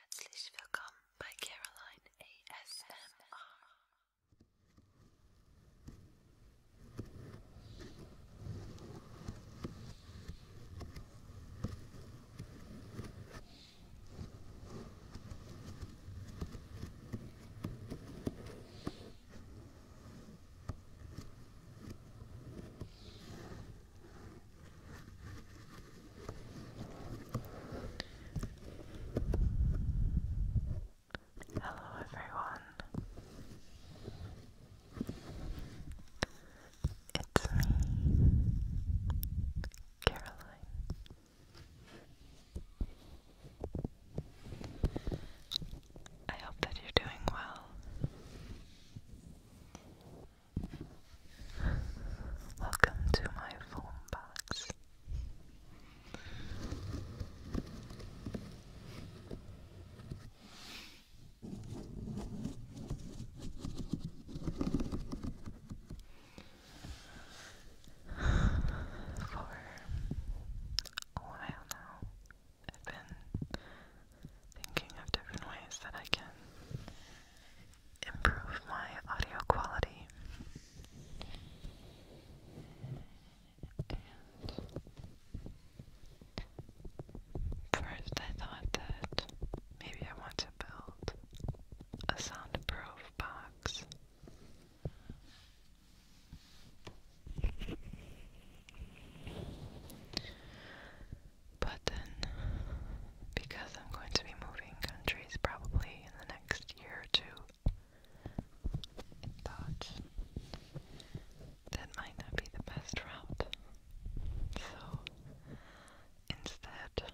Herzlich willkommen by Caroline ASMR. Hello, everyone. It's me, Caroline. I hope that you're doing well. Welcome to my phone box. For a while now, I've been thinking of different ways that I can improve my audio quality. first, I thought that maybe I want to build a soundproof box button because I'm going to be moving countries probably in the next year or two. I that might not be the best route. So instead,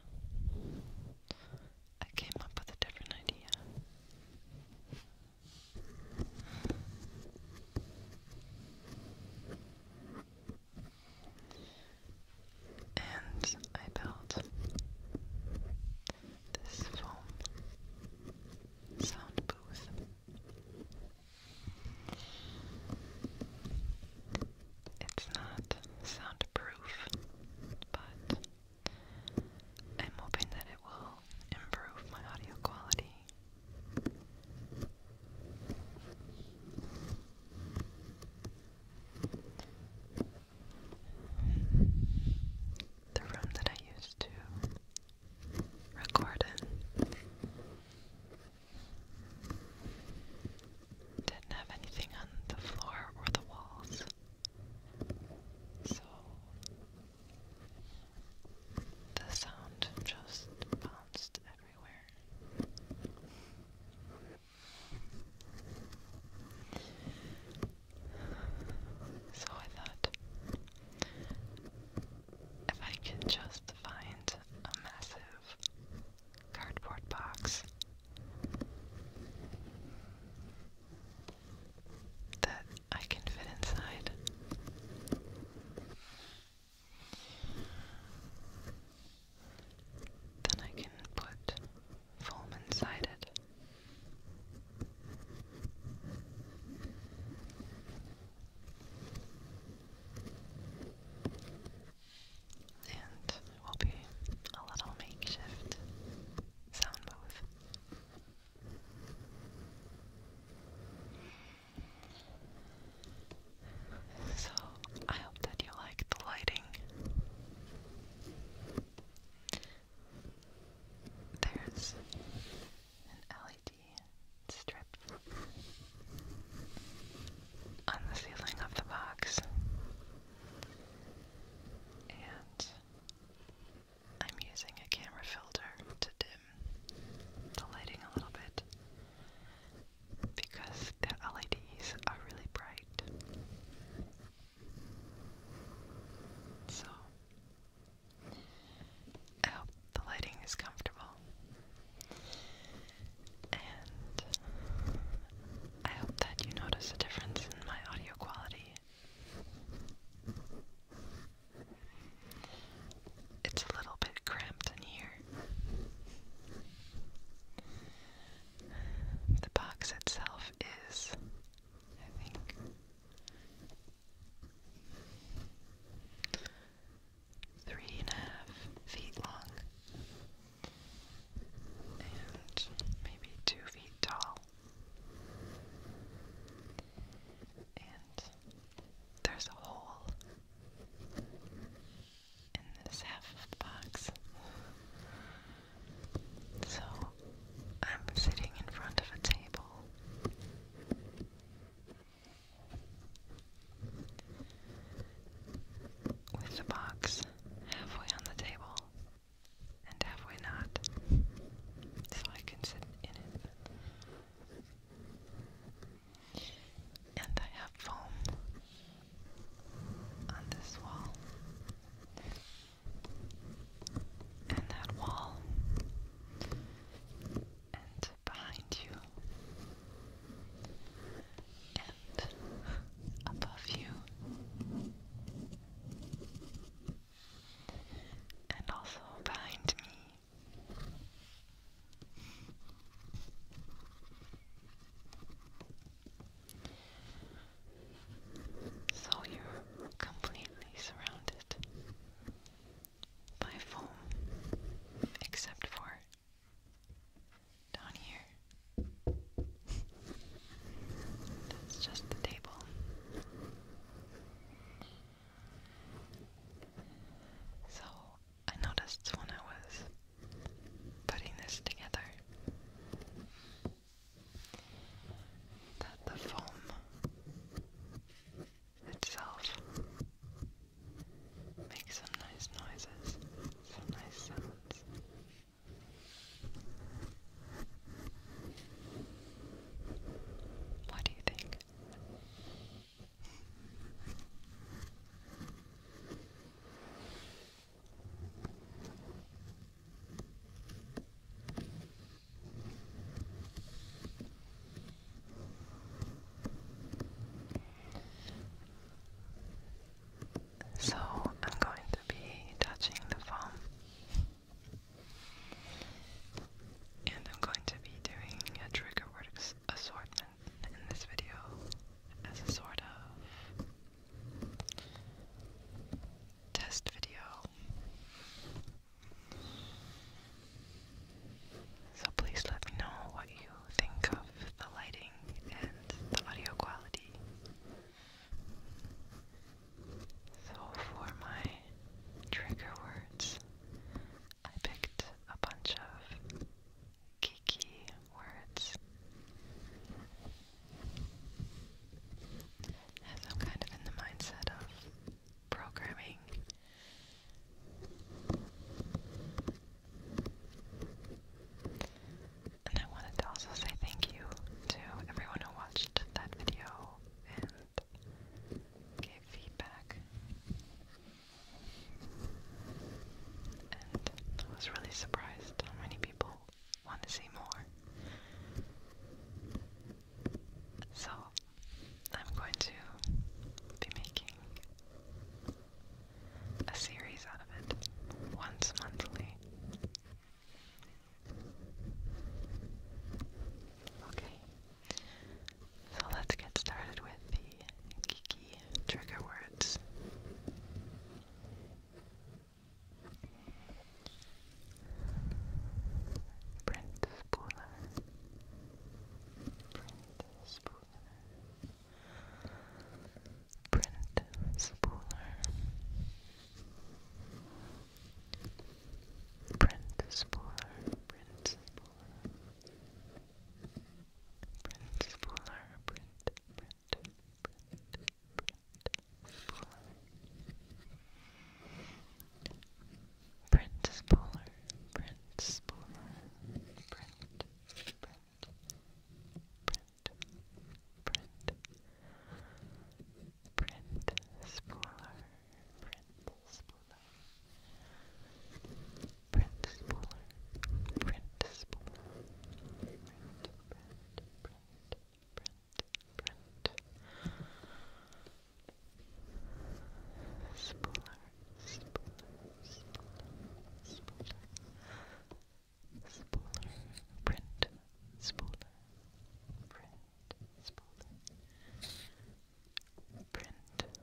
I came up with a different idea and I built this foam sound booth. It's not soundproof, but I'm hoping that it will improve my audio quality. The room that I used to record in didn't have anything on the floor or the walls. So the sound just bounced everywhere. So I thought if I could just find a massive cardboard box that I can fit inside. Then I can put foam inside it. And it will be a little makeshift sound booth. So I hope that you like the lighting. There's an LED strip on the ceiling of the box, and I'm using a camera filter to dim the lighting a little bit because the LEDs are really bright. So, I hope the lighting is comfortable. And I hope that you notice a difference in my audio quality. It's a little bit cramped in here. The box itself is, I think, three and a half feet long maybe two feet tall. And there's a hole in this half of the box. So I'm sitting in front of a table. With the box halfway on the table and halfway not, so I can sit in it. And I have foam on this wall. And that wall. And behind you. And above you. And also behind me. So you're completely surrounded by foam, except for down here. That's just the table. So I noticed when I was putting this together that the foam itself makes some nice noises, some nice sounds. What do you think? So I'm going to be touching the foam. And I'm going to be doing a trigger word assortment in this video as a sort of test video. So please let me know what you think of the lighting and the audio quality. So for my trigger words, I picked a bunch of geeky words as I'm kind of in the mindset of programming. And I wanted to also say thank you to everyone who watched that video and gave feedback. And I was really surprised how many people want to see more. So, I'm going to be making a series out of it once monthly. Okay, so let's get started with the geeky trigger words. Print Spooler. Brent Spooler. Brent Spooler. Brent Spooler. Brent Spooler. Brent Spooler. Brent, Brent, Brent, Prince Spooler, Prince Spooler, Print, Print, Print, Print, Print Spooler, Print Spooler, Print Spooler, Print Spooler, Print, Print, Brent, Brent. Spooler, Spooler, Spooler, Spooler, Spooler, Spooler, Brent, Spooler, Brent, Brent, Brent.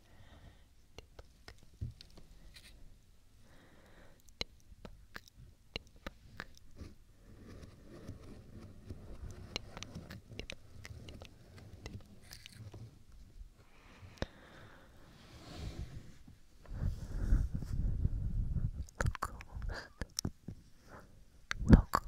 pluck, pluck, pluck, pluck, Locals, locals, locals,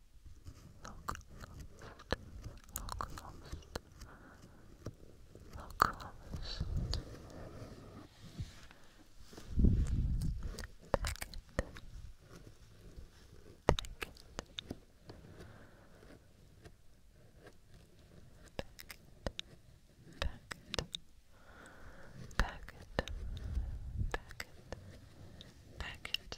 packet, packet, packet,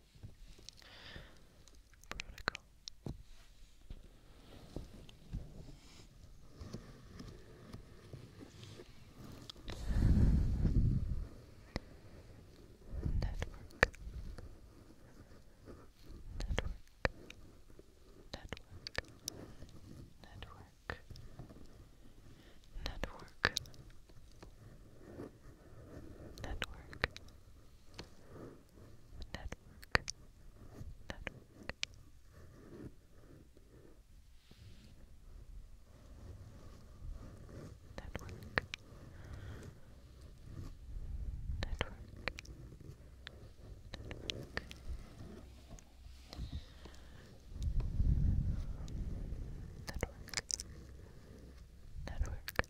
Protocol. Network. Network. Network. Network. Network. Network network, network. Network, network, network. Network,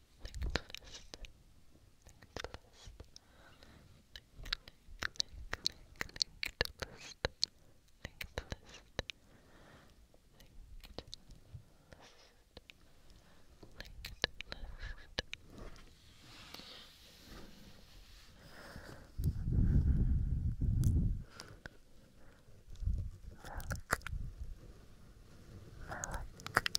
click the list, click the list, click, click, click, click the list, click the list, click the list, click the list. Melk, melk, melk,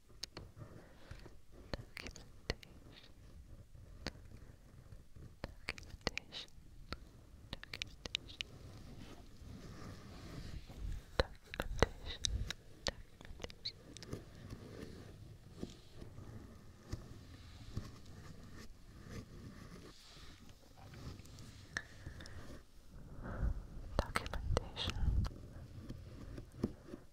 documentation documentation documentation documentation documentation documentation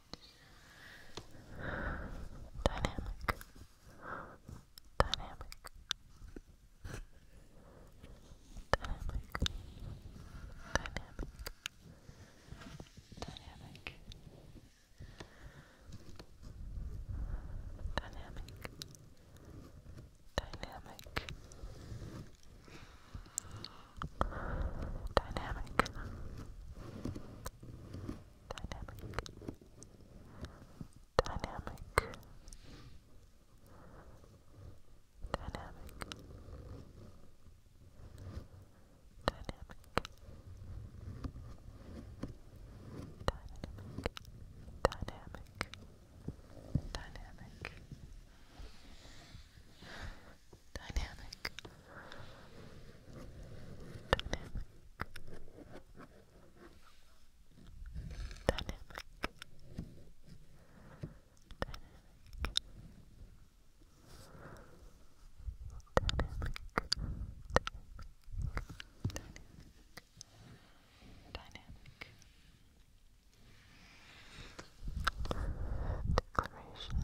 Dynamic. Dynamic. Dynamic. Dynamic. Dynamic. Dynamic. Dynamic dynamic, dynamic, dynamic, dynamic, dynamic, dynamic. Dynamic, Declaration Declaration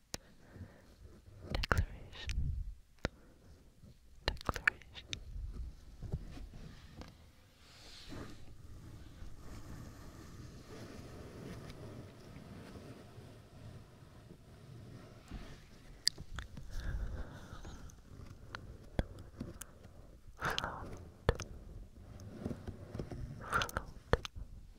Declaration. Declaration. Float, float,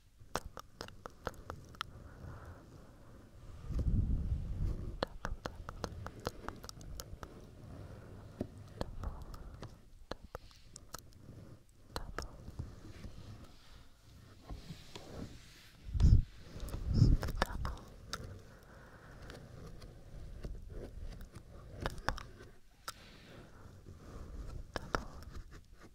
Double,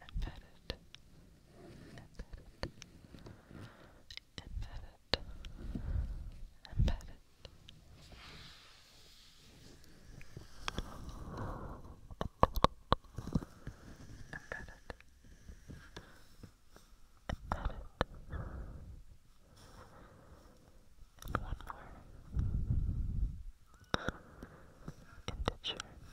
and pet it, Embedded. Embedded. And one more. Integer. Integer.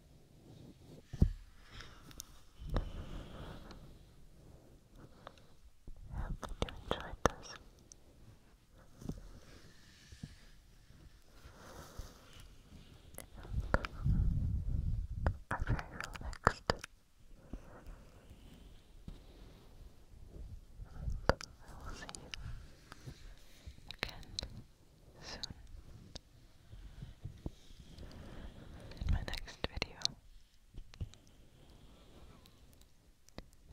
How could you enjoy this? I'm And I will see you again soon in my next video.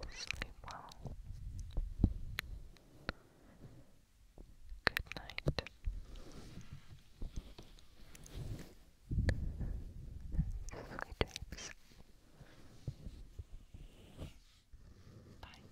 Sleep well. Good night. Sweet dreams. Bye.